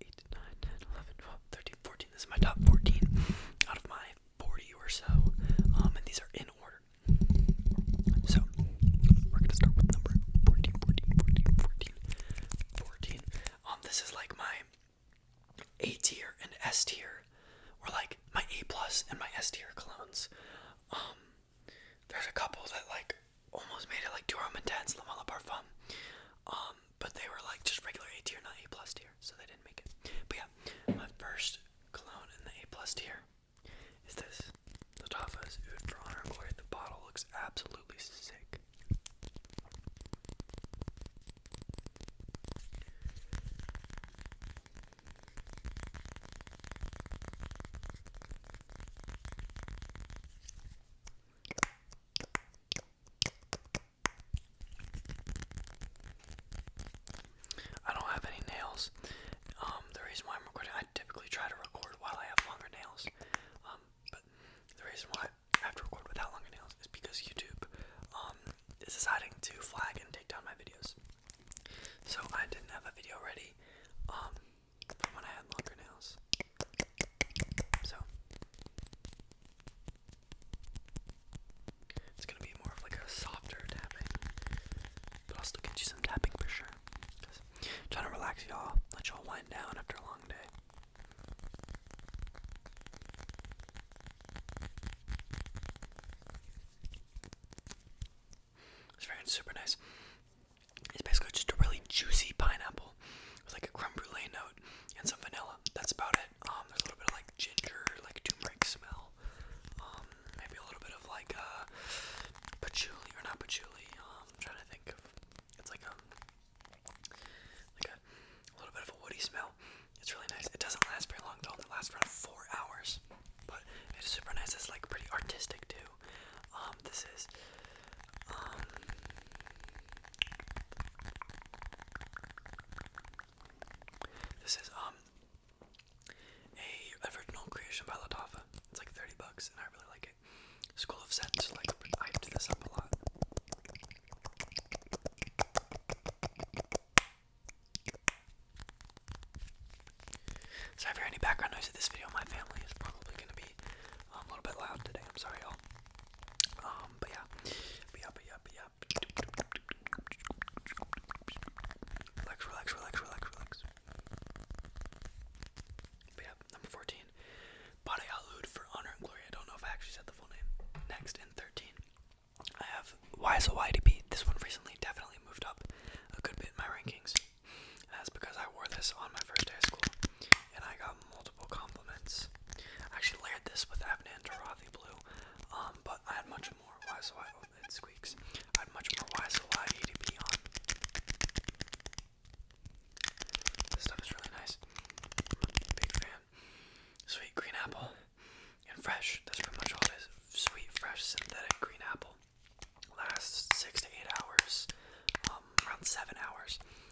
8, 9, This is my top 14 out of my 40 or so. Um, and these are in order. So, we're going to start with number 14, Um, this is like my A tier and S tier, or like my A plus and my S tier clones. Um, there's a couple that like almost made it like Durham and Dance, um, but they were like just regular A tier, not A plus tier, so they didn't make it. But yeah, my first cologne in the A plus tier is this. The Tafa's Oud for Honor and Glory. The bottle looks absolutely sick. I don't have any nails. Um, the reason why I'm recording, I typically try to record while I have longer nails. Um, but the reason why I have to record without longer nails is because YouTube um, is deciding to flag and take down my videos. So I didn't have a video ready from when I had longer nails. So it's gonna be more of like a softer tapping, but I'll still get you some tapping for sure. Trying to relax y'all, let y'all wind down after a long day. It's very super nice. It's basically just a really juicy pineapple with like a crumbly note and some vanilla. That's about it. Um, there's a little bit of like ginger, like turmeric smell. Um, maybe a little bit of like a uh, patchouli or not patchouli. Um, I'm trying to think of. It's like a like a, little bit of a woody smell. It's really nice. It doesn't last very long It only lasts around four hours, but it's super nice. It's like pretty artistic too. Um, this is um, this is um a original creation by Latafa. It's like 30 bucks and I really like it. School of Sense, like I do this up a lot. Sorry for any background noise in this video. My family is probably gonna be I'm a little bit loud today. I'm sorry, y'all. Um, but yeah, Relax, relax, relax, relax, relax. But yeah, number 14. But for honor and glory. I don't know if I actually said the full name. Next, in 13, I have Wise YDP. This one recently definitely moved up a good bit in my rankings. that's because I wore this on my first day of school and I got multiple compliments. I actually layered this with Avnan Tarathi Blue, um, but I had much more YSY. Oh, it squeaks. I had much more YSY ADP on. This stuff is really nice. Big fan. Sweet green apple and fresh. That's pretty much all it is. Sweet, fresh, synthetic green apple. Lasts six to eight hours, um, around seven hours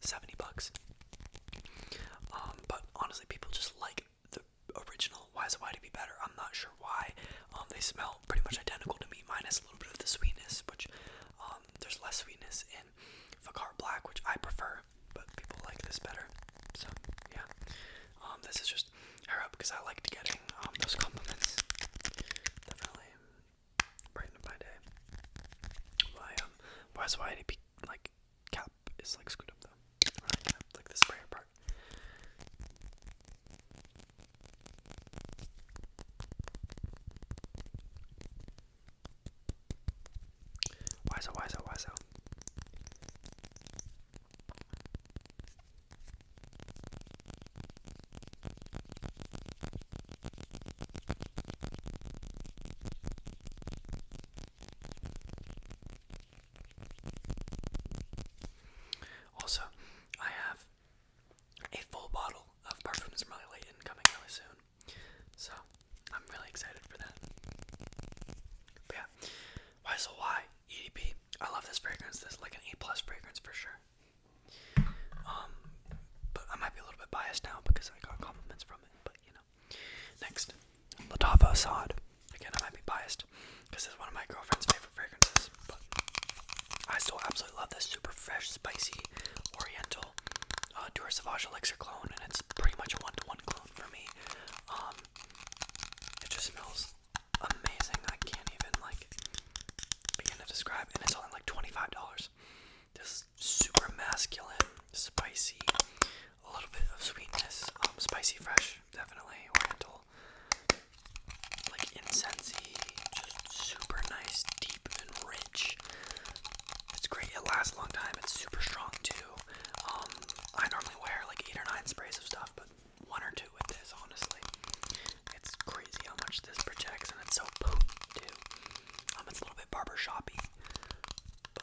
70 bucks. Um, but honestly, people just like the original Why Is It Why to be better. I'm not sure why. Um, they smell pretty much identical to me, minus a little bit of the sweetness, which um, there's less sweetness in Vicar Black, which I prefer, but people like this better. So, yeah. this is just hair up because I liked getting those compliments. Definitely brightened my day. Why, um, Why Is Why to be like cap is like screwed up though. Right, cap, like the sprayer part. Why so? Why so? Why so? Also, I have a full bottle of Parfums from Molly Layton coming really soon. So, I'm really excited for that. But yeah, why so EDP. I love this fragrance. This is like an A plus fragrance for sure. Um, but I might be a little bit biased now because I got compliments from it. But you know, Next, Latava Assad. Again, I might be biased because it's one of my girlfriend's favorite fragrances, but I still absolutely love this super fresh, spicy, oriental uh, Dura Savage Elixir clone, and it's pretty much a one to one clone for me. Um, it just smells amazing. I can't even like begin to describe, and it's only like $25. This super masculine, spicy, a little bit of sweetness, um, spicy fresh, definitely oriental, like incensey, just super nice, deep and rich. It's great. It lasts a long time. It's super strong too. Um, I normally wear like eight or nine sprays of stuff, but one or two with this. Honestly, it's crazy how much this protects, and it's so potent too. Um, it's a little bit barber shoppy, but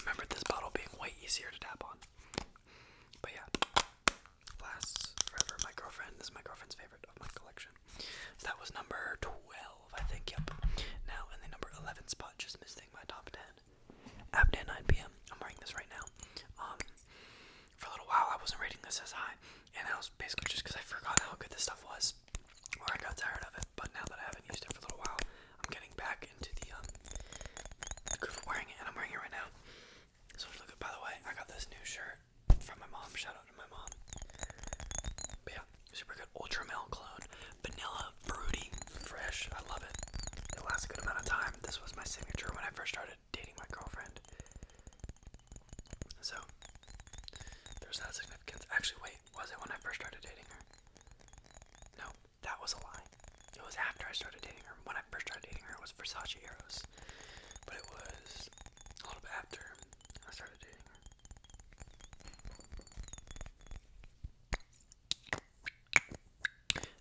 Remember this bottle being way easier to tap on. But yeah, lasts forever. My girlfriend, this is my girlfriend's favorite of my collection. that was number 12, I think, yep. Now in the number 11 spot, just missing my top 10. Abday 9 p.m. I'm wearing this right now. Um, for a little while, I wasn't rating this as high, and I was basically just because I forgot how good this stuff was or I got tired of it, but now that I haven't used it for a little while, I'm getting back into the um the groove of wearing it, and I'm wearing it right now. So look at by the way, I got this new shirt from my mom. Shout out to my mom. But yeah, super good ultra male clone, vanilla, fruity, fresh. I love it. It lasts a good amount of time. This was my signature when I first started dating my girlfriend. So there's that significance. Actually, wait, was it when I first started dating her? No, that was a lie. It was after I started dating her. When I first started dating her, it was Versace Eros. But it was a little bit after I started dating her.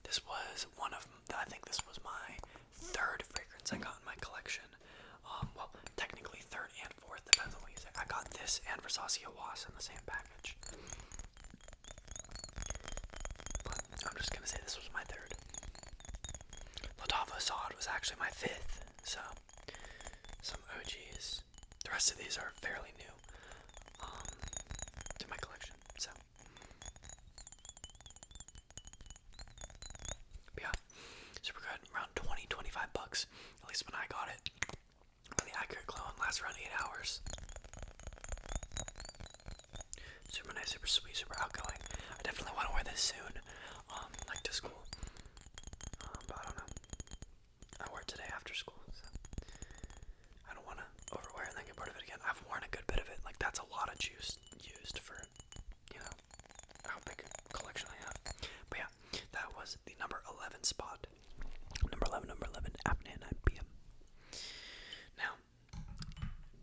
This was one of I think this was my third fragrance I got in my collection. Um, well, technically third and and forth, depends on you say. I got this and Versace Was in the same package. I'm just gonna say this was my third. Latava Sod was actually my fifth, so some OGs. The rest of these are fairly new um, to my collection, so. But yeah, super good, around 20, 25 bucks, at least when I got it and the accurate clone lasts around 8 hours. Super nice, super sweet, super outgoing. I definitely want to wear this soon, um, like to school. Um, but I don't know. I wore it today after school, so I don't want to overwear and then get bored of it again. I've worn a good bit of it. Like that's a lot of juice used for, you know, how big a collection I have. But yeah, that was the number 11 spot. Number 11, number 11, happening at 9 p.m. Now,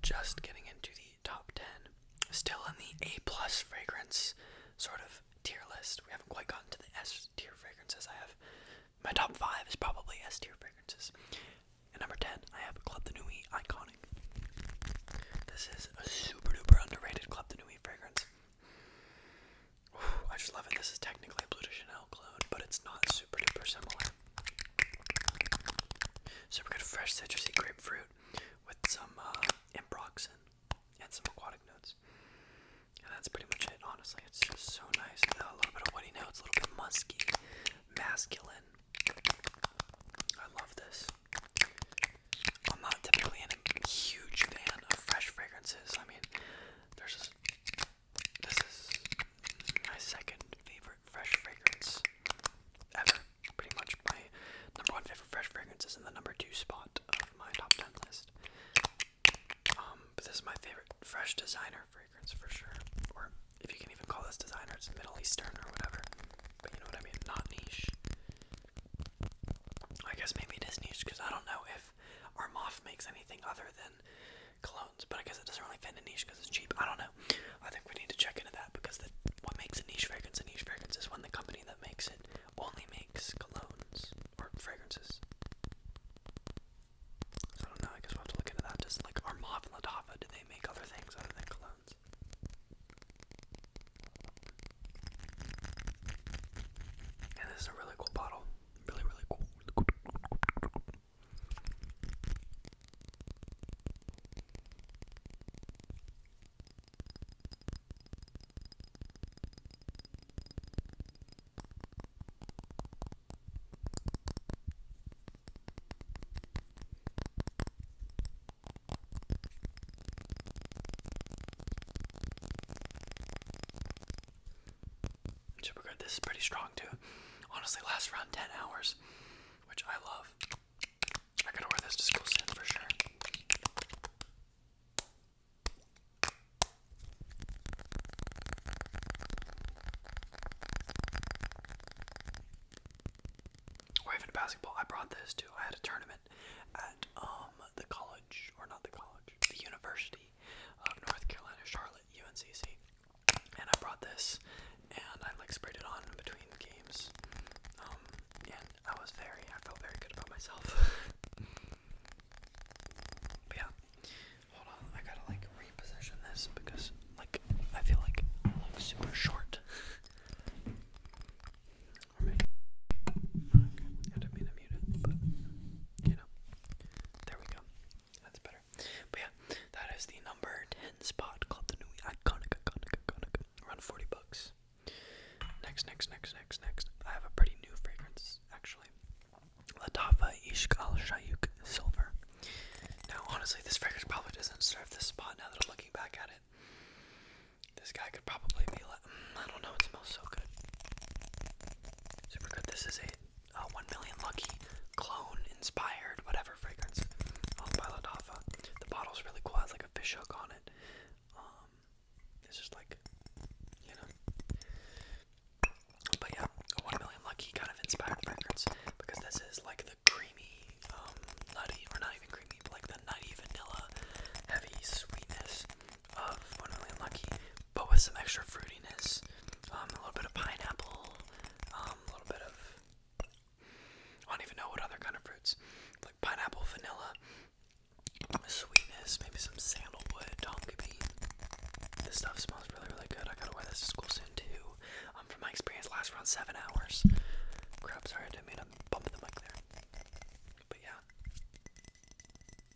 just getting into the top 10, still in the A plus fragrance sort of tier list. We haven't quite gotten to the S tier fragrances. I have my top five is probably S tier fragrances. And number 10, I have Club de Nuit Iconic. This is a super duper underrated Club de Nuit fragrance. I just love it. This is technically a Blue de Chanel clone, but it's not super duper similar. So Super good fresh citrusy grapefruit with some uh, ambroxan and some aquatic notes. And that's pretty much it, honestly. It's just so nice. Uh, a little bit of woody notes, a little bit musky, masculine. I love this. I'm not typically a huge fan of fresh fragrances. I mean, this, is my second favorite fresh fragrance ever. Pretty much my number one favorite fresh fragrance is in the number two spot of my top ten list. Um, but this is my favorite fresh designer fragrance for sure. Or if you can even call this designer, it's Middle Eastern or whatever. But you know what I mean? Not niche. I guess maybe it is niche because I don't know if if makes anything other than colognes, but I guess it doesn't really fit in a niche because it's cheap. I don't know. I think we need to check into that because what makes a niche fragrance a niche fragrance is when the company that makes it only makes colognes or fragrances. I don't know. I guess we'll have to look into that. Just like our Moth and Latava, do they make other things other than colognes? And this is a really cool bottle. Really, really cool. Super good. This is pretty strong too. Honestly, lasts around 10 hours, which I love. I could order this to school soon for sure. Or even basketball. I brought this too. I had a tournament at um the college, or not the college, the university of North Carolina Charlotte UNCC. And I brought this and I like sprayed it on in between the games. Um, and I was very, I felt very good about myself. yeah, hold on, I gotta like reposition this because like I feel like I look super short. I mean to mute it, but you know. There we go. That's better. But yeah, that is the number 10 spot called the new iconic, iconic, iconic. Around 40 bucks. Next, next, next, next, next. I have a pretty new fragrance, actually. Latafa Ishq Al Shayuk Silver. Now, honestly, this fragrance probably doesn't serve this spot now that I'm looking back at it. This guy could probably be like, mm, I don't know, it smells so good. Super good. This is a uh, 1 million lucky clone inspired whatever fragrance by Ladafa. The bottle's really cool. It has like a fish hook on it. Um, it's just like you know. But yeah, 1 million lucky kind of inspired fragrance because this is like the creamy, um, nutty or not even creamy, but like the nutty vanilla, heavy sweetness of Wonderly Unlucky, but with some extra fruitiness. Um, a little bit of pineapple, um, a little bit of. I don't even know what other kind of fruits. Like pineapple, vanilla, sweetness, maybe some sandalwood, donkey bean. This stuff smells really, really good. I gotta wear this to school soon too. Um, from my experience, lasts around seven hours. Crap, sorry, I didn't mean to bump the mic there. But yeah.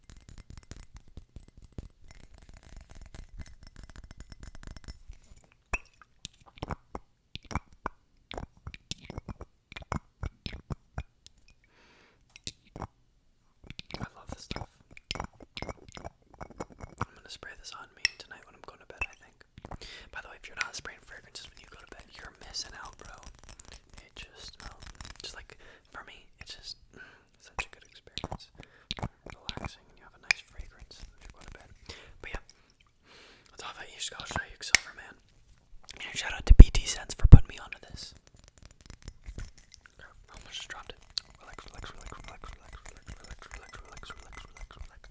I love this stuff. I'm gonna spray this on me tonight when I'm going to bed, I think. By the way, if you're not spraying fragrances when you go to bed, you're missing out, bro. It just smells um, just like for me, it's just such a good experience. Relaxing, and you have a nice fragrance as you go to bed. But yeah, that's all you, Silverman. shout out to BT Sense for putting me onto this. almost just dropped it. Relax, relax, relax, relax, relax, relax, relax, relax, relax, relax, relax.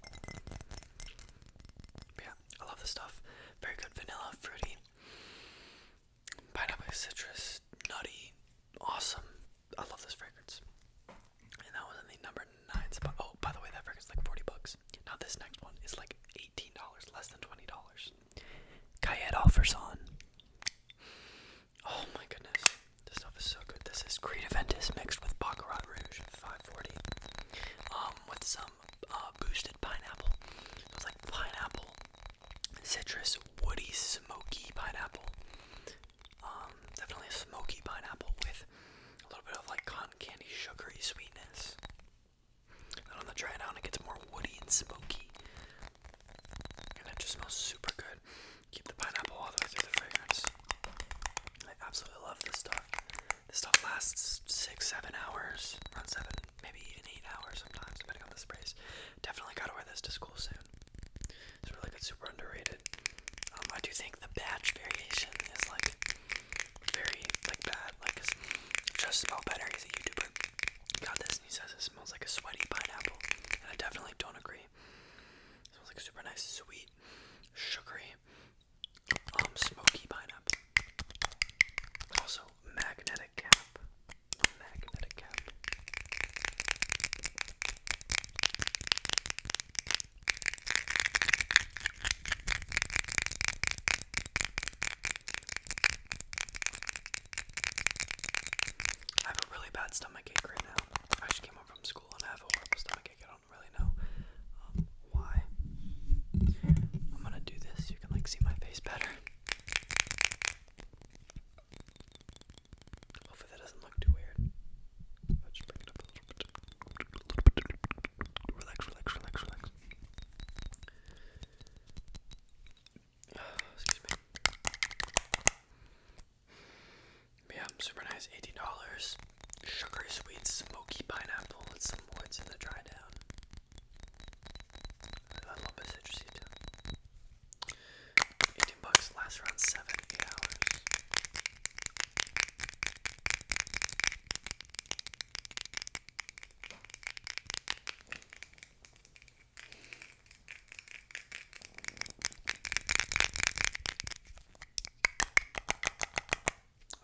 But yeah, I love this stuff. Very good vanilla, fruity. Pineapple citrus, nutty, awesome. I love this fragrance. And that was in the number nine spot. Oh, by the way, that fragrance like 40 bucks. Now this next one is like $18, less than $20. Cayette offers on. Oh my goodness. This stuff is so good. This is Creed mixed with Baccarat Rouge 540. Um, with some uh, boosted pineapple. it's like pineapple, citrus, woody, smoky pineapple. Um, definitely a smoky pineapple with a little bit of like cotton candy sugary sweetness. And on the dry down, it gets more woody and smoky. And it just smells super good. Keep the pineapple all the way through the fragrance. I absolutely love this stuff. This stuff lasts six, seven hours. Around seven maybe even eight hours sometimes, depending on the sprays. Definitely gotta wear this to school soon. It's really good, super underrated. Um, I do think the batch variation is like very like bad, like just smell better. He's a YouTuber. Got this, and he says it smells like a sweaty pineapple, I definitely don't agree. smells like super nice, sweet, sugary, um, smoky pineapple. Also, magnetic cap. Magnetic cap. I have a really bad stomach ache right now. I just came home from school and I have a horrible stomach ache. I don't really know um, why. I'm gonna do this. You can like see my face better. Hopefully that doesn't look too weird. me. Yeah, super nice. $18. Sugary sweet smoky pineapple with some woods in the dry down. 18 bucks, lasts around 7 8 hours.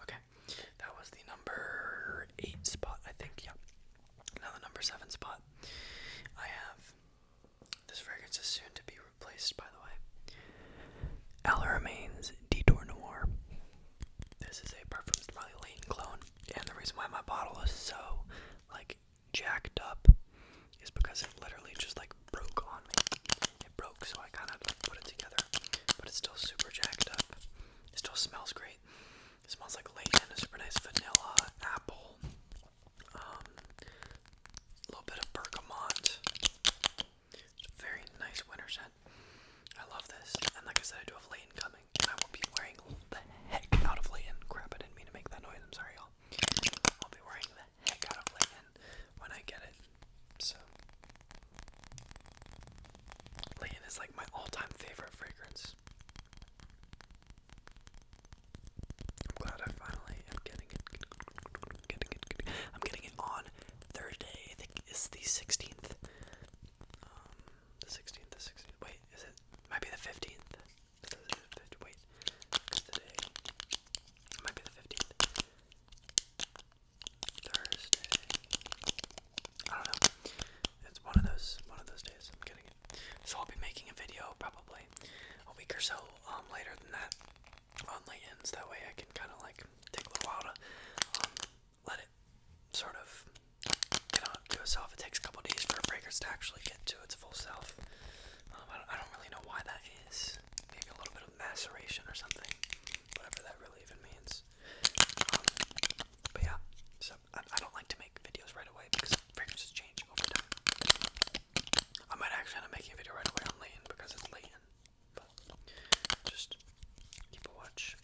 Okay, that was the number eight spot, I think. Yeah, now the number seven spot. I have this fragrance is soon to be replaced, by the way. Al Remains Detour Noir. This is a perfume from my Leighton clone, and the reason why my bottle is so like jacked up is because it literally just like broke on me. It broke, so I kind of like, put it together, but it's still super jacked up. It still smells great. It smells like Layton, a super nice vanilla, apple, um, a little bit of bergamot. very nice winter scent. I love this. And like I said, I do have Layton coming. I will be wearing the heck out of Layton. Crap, I didn't mean to make that noise. I'm sorry, y'all. I'll be wearing the heck out of Layton when I get it. So, Layton is like my all time favorite fragrance. I'm glad I finally am getting it, getting it, getting it. I'm getting it on Thursday. I think it's the 16th. Um, the 16th, the 16th. Wait, is it? Might be the 15th. Wait, today. might be the 15th. Thursday. I don't know. It's one of those one of those days. I'm getting So I'll be making a video probably a week or so um, later than that on lay That way I can kind of like take a little while to um, let it sort of get on to itself. It takes a couple days for a breakers to actually get to its full self. Um, I, don't, really know why that is. Maybe a little bit of maceration or something. Whatever that really even means. but yeah, so I, don't like to make videos right away because fragrances change over time. I might actually end up making a video right away on Leighton because it's Leighton. But just keep a watch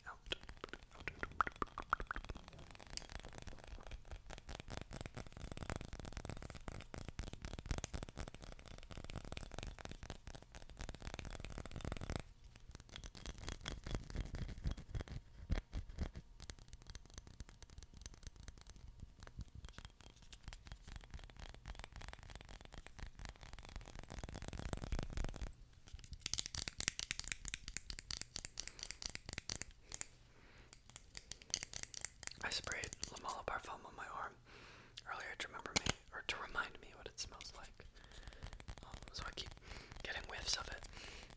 I sprayed La Mala Parfum on my arm earlier to remember me or to remind me what it smells like. Um, so I keep getting whiffs of it.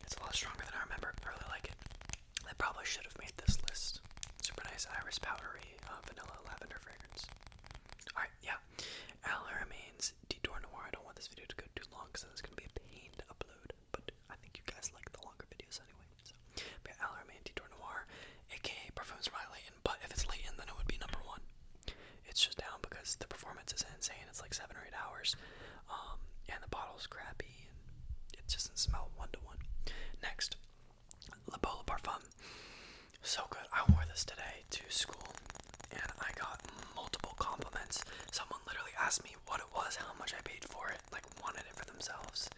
It's a lot stronger than I remember. I really like it. I probably should have made this list. Super nice iris powdery uh, vanilla lavender fragrance. Alright, yeah. Al remains Detour Noir. I don't want this video to go too long because it's going to be a pain to upload, but I think you guys like the longer videos anyway. So, but yeah, Al remains Detour Noir, aka Perfumes by Layton, but if it's Layton, then it would be number one. It's just down because the performance is insane. It's like seven or eight hours, um, and the bottle's crappy happy and it doesn't smell one to one. Next, La Bola Parfum. So good. I wore this today to school and I got multiple compliments. Someone literally asked me what it was, how much I paid for it, like wanted it for themselves.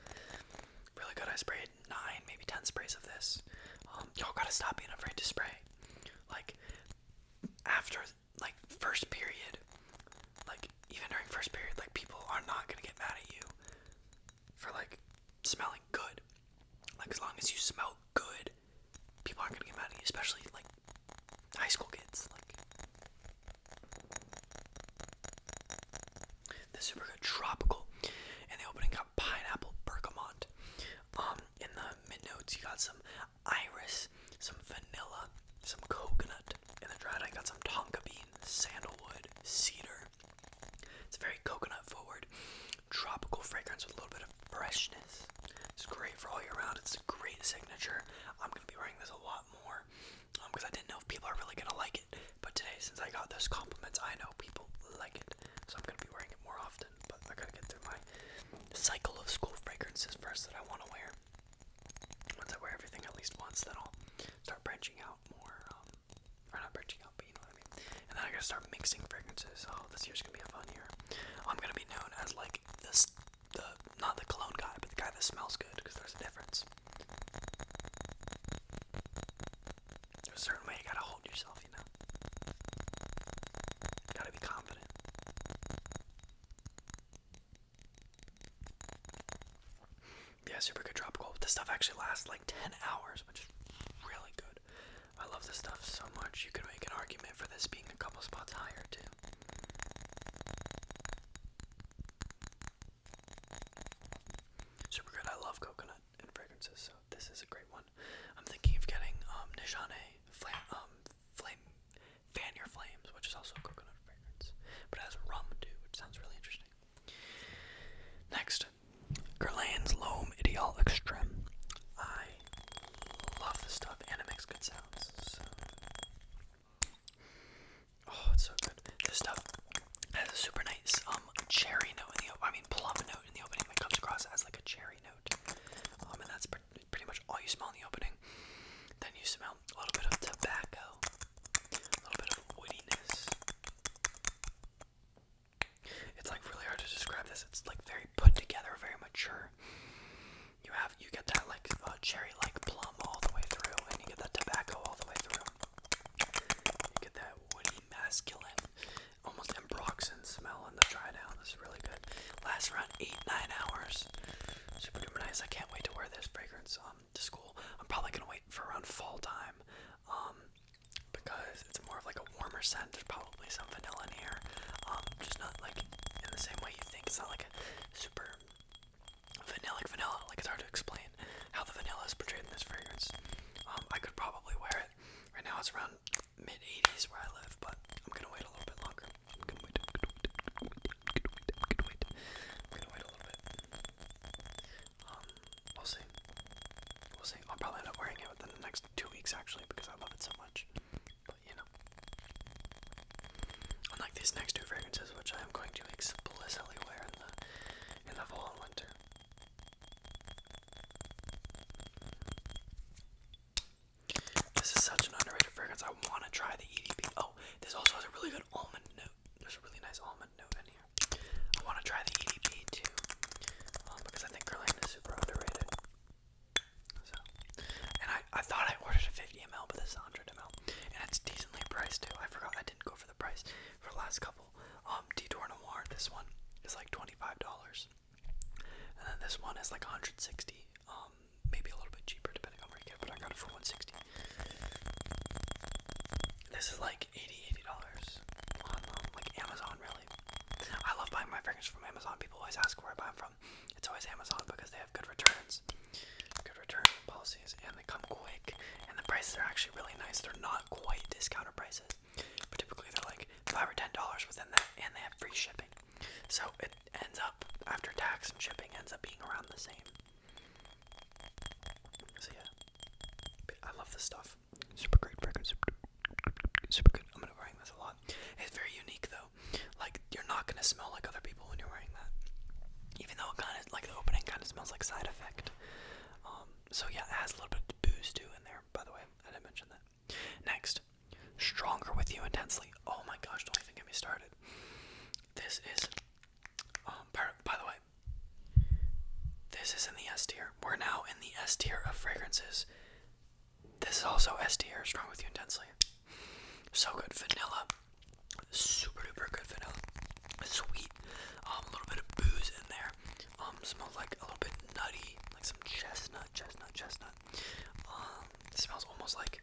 Really good. I sprayed nine, maybe ten sprays of this. Um, y'all gotta stop being afraid to spray. Like, after like first period, like even during first period, like people are not gonna get mad at you for like smelling good. Like as long as you smell good, people aren't gonna get mad at you, especially like high school kids. Like this super good tropical, and the opening got pineapple bergamot. Um, in the mid notes, you got some iris, some vanilla, some coconut, in the dried, I got some tonka bean, sandalwood, cedar. It's a very coconut forward, tropical fragrance with a little bit of freshness. It's great for all year round. It's a great signature. I'm gonna be wearing this a lot more because um, I didn't know if people are really gonna like it. But today, since I got those compliments, I know people like it, so I'm gonna be wearing it more often. But I gotta get through my cycle of school fragrances first that I want to wear. Once I wear everything at least once, then I'll start branching out more. Um, not branching out, but you know what I mean. And then I gotta start mixing fragrances. Oh, this year's gonna be a fun year. I'm gonna be known as like this, the not the cologne guy, but the guy that smells good, because there's a difference. There's a certain way you gotta hold yourself, you know. gotta be confident. Yeah, super good tropical. This stuff actually lasts like 10 hours, which is really good. I love this stuff so much. You could make an argument for this being a couple spots higher, too. Super good. I love coconut and fragrances, so this is a great one. I'm thinking of getting um, Nishane Flame um, Fan Your Flames, which is also a coconut fragrance, but it has rum too, which sounds really interesting. Next, Gerland's Loam Ideal Extreme. I love this stuff, and it makes good sounds. So. Oh, it's so good. This stuff has a super nice um cherry note in the I mean plum note in the opening that comes across as like a cherry note. Um, and that's pretty much all you smell in the opening. Then you smell a little bit of tobacco, a little bit of woodiness. It's like really hard to describe this. It's like very put together, very mature. You have you get that like uh, cherry-like plum all the way through, and you get that tobacco all the way through. You get that woody, masculine, almost ambroxan smell in the dry down. This is really good. Lasts around eight, nine hours. Super duper nice. I can't wait to wear this fragrance. Um, to school. I'm probably gonna wait for around fall time, um, because it's more of like a warmer scent. There's probably some vanilla in here, um, just not like in the same way you think. It's not like a super vanilla like vanilla. Like it's hard to explain how the vanilla is portrayed in this fragrance. Um, I could probably wear it. Right now it's around mid 80s where I live, but I'm gonna wait a little bit longer. I'm gonna wait a little bit. we'll see. We'll see. I'll probably end up wearing it within the next two weeks actually because I love it so much. But you know. Unlike these next two fragrances, which I am going to explicitly wear in the in the fall and winter. This is such an underrated fragrance. I want to try the EDP. Oh, Oh, this also has a really good almond note. There's a really nice almond note in here. I want to try the EDP too, um, because I think Guerlain is super underrated. So, and I, I thought I ordered a 50 ml, but this is 100 ml, and it's decently priced too. I forgot I didn't go for the price for last couple. Um, Detour Noir, this one is like $25, and then this one is like 160. Um, maybe a little bit cheaper depending on where you get it, but I got it for 160 This is like 80 dollars $80 on um, like Amazon really. I love buying my fragrance from Amazon. People always ask where I buy them from. It's always Amazon because they have good returns. Good return policies and they come quick and the prices are actually really nice. They're not quite discounted prices. But typically they're like five or ten dollars within that and they have free shipping. So it ends up after tax and shipping ends up being around the same. So yeah, I love this stuff. Super great record, super, good. I'm gonna be wearing this a lot. It's very unique though. Like you're not gonna smell like other people when you're wearing that. Even though it kind of like the opening kind of smells like side effect. Um, so yeah, it has a little bit of booze too in there. By the way, I didn't mention that. Next, stronger with you intensely. Oh my gosh, don't even get me started. This is um, by, the way, this is in the S tier. We're now in the S tier of fragrances. This is also S tier, strong with you intensely. So good. Vanilla. Super duper good vanilla. Sweet. Um, a little bit of booze in there. Um, smells like a little bit nutty, like some chestnut, chestnut, chestnut. Um, smells almost like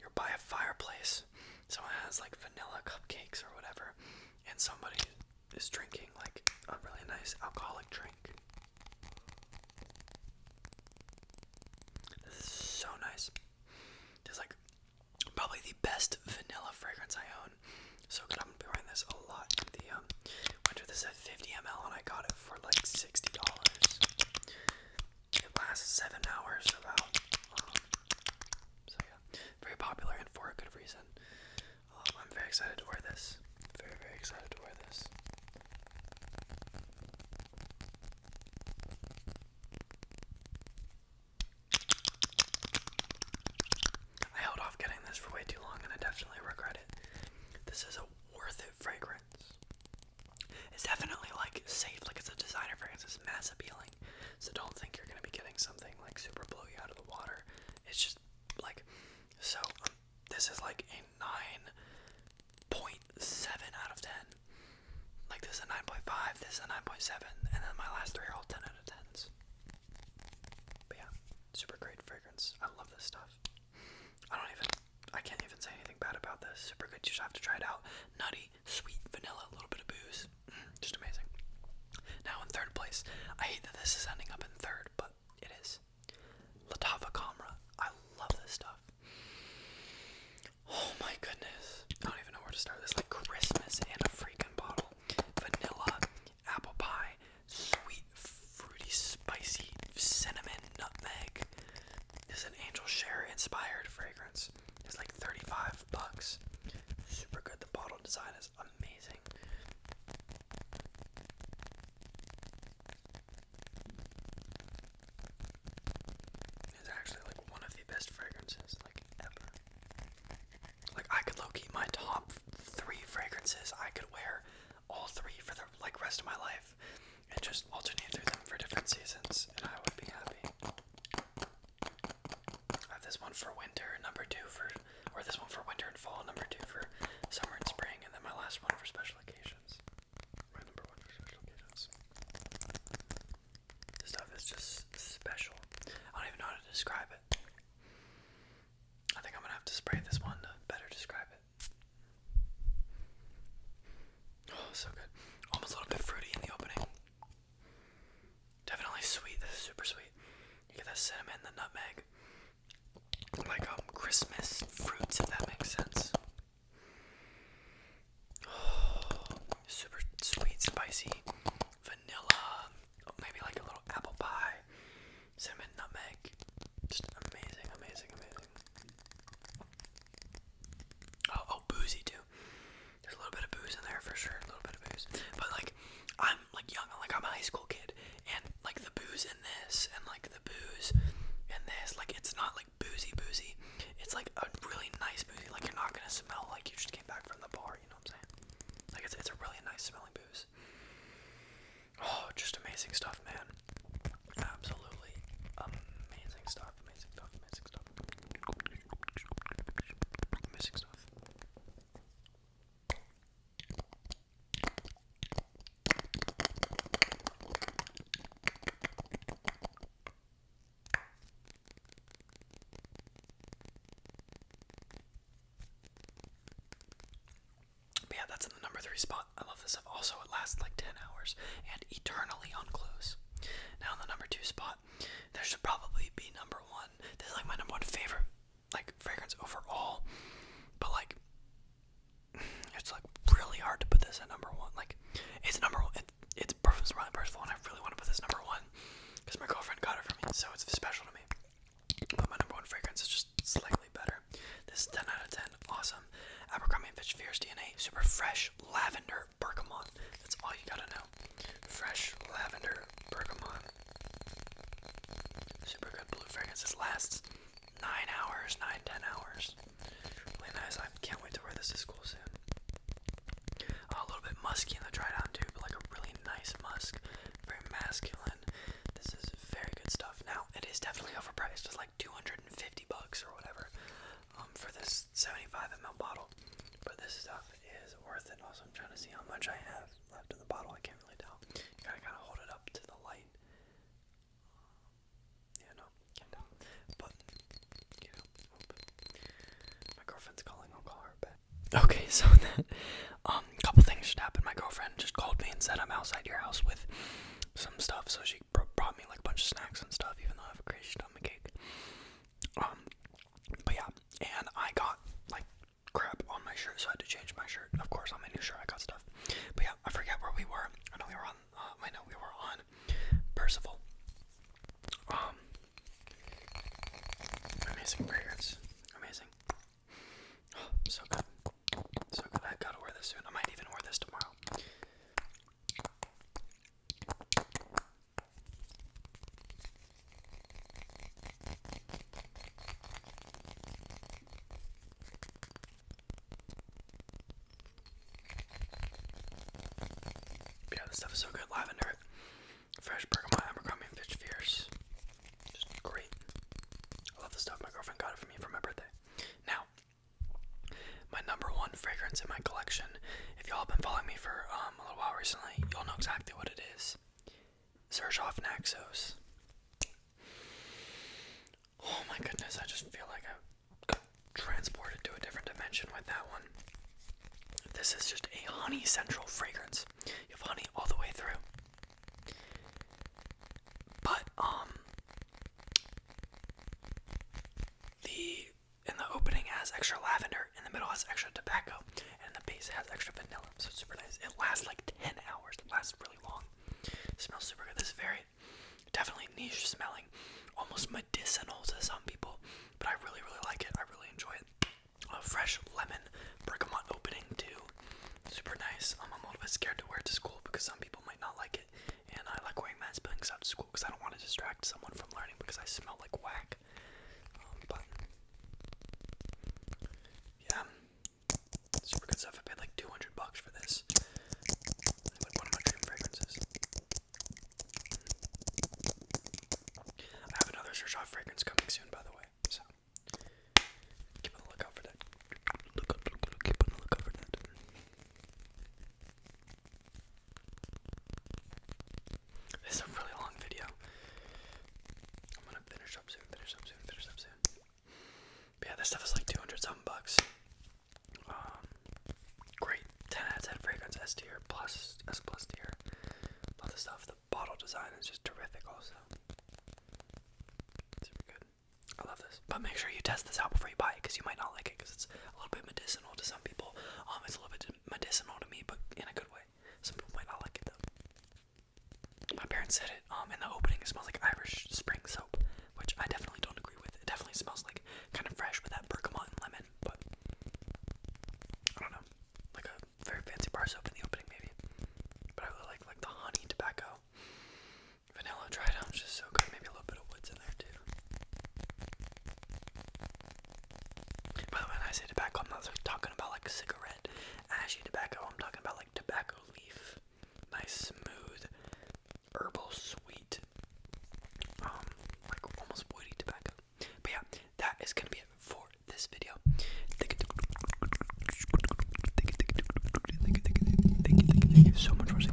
you're by a fireplace, so it has like vanilla cupcakes or whatever, and somebody is drinking like a really nice alcoholic drink. This is so nice. This is like probably the best vanilla fragrance I own. So good. I'm gonna be wearing this a lot. The um, winter. This is at 50 ml, and I got it for like 60 dollars. It lasts seven hours, about. Um, so yeah, very popular and for a good reason. Um, I'm very excited to wear this. Very very excited to wear this. I held off getting this for way too long, and I definitely regret it. This is a worth it fragrance. It's definitely like safe, like it's a designer fragrance. It's mass appealing. So don't think you're gonna be getting something like super blowy out of the water. It's just like so. Um, this is like a nine point seven out of ten. Like this is a nine point five. This is a nine point seven, and then my last three are all ten out of tens. But yeah, super great fragrance. I love this stuff. I don't even. I can't even say anything bad about this. Super good. You just have to try it out. Nutty, sweet vanilla, a little bit of booze. Mm, just amazing. Now in third place, I hate that this is ending up in third, but it is. Latava Camra. I love this stuff. Oh my goodness. I don't even know where to start. This like Christmas and a freaking bottle. Vanilla, apple pie, sweet, fruity, spicy, cinnamon, nutmeg. This is an angel share inspired fragrance. It's like 35 bucks. Super good. The bottle design is amazing. It's actually like one of the best fragrances like ever. Like I could low my top three fragrances I could wear all three for the like rest of my life and just alternate through them for different seasons and I would be happy. I have this one for winter, number two for, or this one for winter and fall, number two for summer and spring, and then my last one for special occasions. My number one for special occasions. This stuff is just special. I don't even know how to describe it. I think I'm gonna have to spray this one to better describe it. Oh, so good. Almost a little bit fruity in the opening. Definitely sweet. This is super sweet. You get that cinnamon, the nutmeg, like um Christmas fruits, if that makes sense. super sweet, spicy, vanilla, maybe like a little apple pie, cinnamon, nutmeg. Just amazing, amazing, amazing. oh, oh boozy too. There's a little bit of booze in there for sure, a little bit of booze. But like, I'm like young, like I'm a high school kid, and like the booze in this, and like the booze in this, like it's not like boozy boozy. It's like a really nice boozy. Like you're not gonna smell like you just came back from the bar. You know what I'm saying? Like it's it's a really nice smelling booze. Oh, just amazing stuff, man. Absolutely amazing stuff, amazing stuff, amazing stuff. I'm missing stuff. But yeah, that's in the number three spot. I love this stuff. Also, it lasts like 10 hours and eternally on close. Now, in the number two spot, that should probably be number one. This is like my number one favorite like fragrance overall. But like it's like really hard to put this at number one. Like it's number one. It, it's perfect, my first one. I really want to put this number one because my girlfriend got it for me, so it's special to me. But my number one fragrance is just slightly better. This 10 out of 10. Awesome. Abercrombie & Fitch Fierce DNA. Super fresh lavender bergamot. That's all you gotta know. Fresh lavender bergamot. Super good blue fragrance. lasts nine hours, nine, ten hours. Really nice. I can't wait to wear this to school soon. a little bit musky in the dry down too, but like a really nice musk. Very masculine. This is very good stuff. Now it is definitely overpriced. It's like 250 bucks or whatever. Um, for this 75 ml bottle. But this stuff is worth it. Also, I'm trying to see how much I have left in the bottle. I can't really tell. gotta kind of hold it up to the light. Um, yeah, no, can't tell. But, my girlfriend's calling. I'll call her back. Okay, so that um, a couple things should happen. My girlfriend just called me and said I'm outside your house with some stuff. So she brought me like a bunch of snacks and stuff, even though I have a crazy stomach ache. Um, but yeah, and I got like crap on my shirt, so I had to change my shirt. Of course, on my new shirt, I got stuff. But yeah, I forget where we were. I know we were on. Uh, I know we were on Percival. Um, amazing fragrance, amazing. so good, so good. I gotta wear this soon. I might even wear this tomorrow. Yeah, this stuff is so good. Lavender, fresh bergamot, abercrombie, and fish fierce. Just great. I love this stuff. My girlfriend got it for me for my birthday. Now, my number one fragrance in my collection. If y'all have been following me for um um, a little while recently. You'll know exactly what it is. Zerzhov Naxos. Oh my goodness, I just feel like I got transported to a different dimension with that one. This is just a honey central fragrance. You have honey all the way through. But, um, the in the opening has extra lavender, in the middle has extra tobacco, and the base has extra vanilla. So it's super nice. It lasts like 10 hours. It lasts really long. It smells super good. This is very definitely niche smelling, almost medicinal to some people, but I really, really like it. I really enjoy it. A fresh lemon bergamot opening too. Super nice. I'm a little bit scared to wear it to school because some people might not like it, and I like wearing mask billings out to school because I don't want to distract someone from learning because I smell like whack. Um, yeah, super good stuff. I paid like 200 bucks for this. Like one of my dream fragrances. I have another Search Off fragrance coming soon, by the way. So keep on the lookout for that. keep on the lookout for that. This is a really long video. I'm gonna finish up soon, finish up soon, finish up soon. yeah, this stuff is like 200 something bucks. Um, great 10 out of 10 fragrance, S tier, plus, S plus tier. Love the stuff. The bottle design is just terrific, also. Super good. I love this. But make sure you test this out before you buy it because you might not like it because it's a little bit medicinal to some people. Um, It's a little bit medicinal to me, but in a good way. Some people might not like it though. My parents said it um in the opening. It smells like Irish Spring soap, which I definitely don't agree with. It definitely smells like kind of fresh with that bergamot and lemon, but I don't know, like a very fancy bar soap in the opening maybe. But I really like like the honey tobacco. Vanilla dry down just so good. Maybe a little bit of woods in there too. By the way, when I say tobacco, I'm not talking about like cigarette, ashy tobacco. I'm talking about like tobacco leaf, nice smooth, herbal, sweet, um, like almost woody tobacco. But yeah, that is gonna be it for this video. Thank you, so much for watching.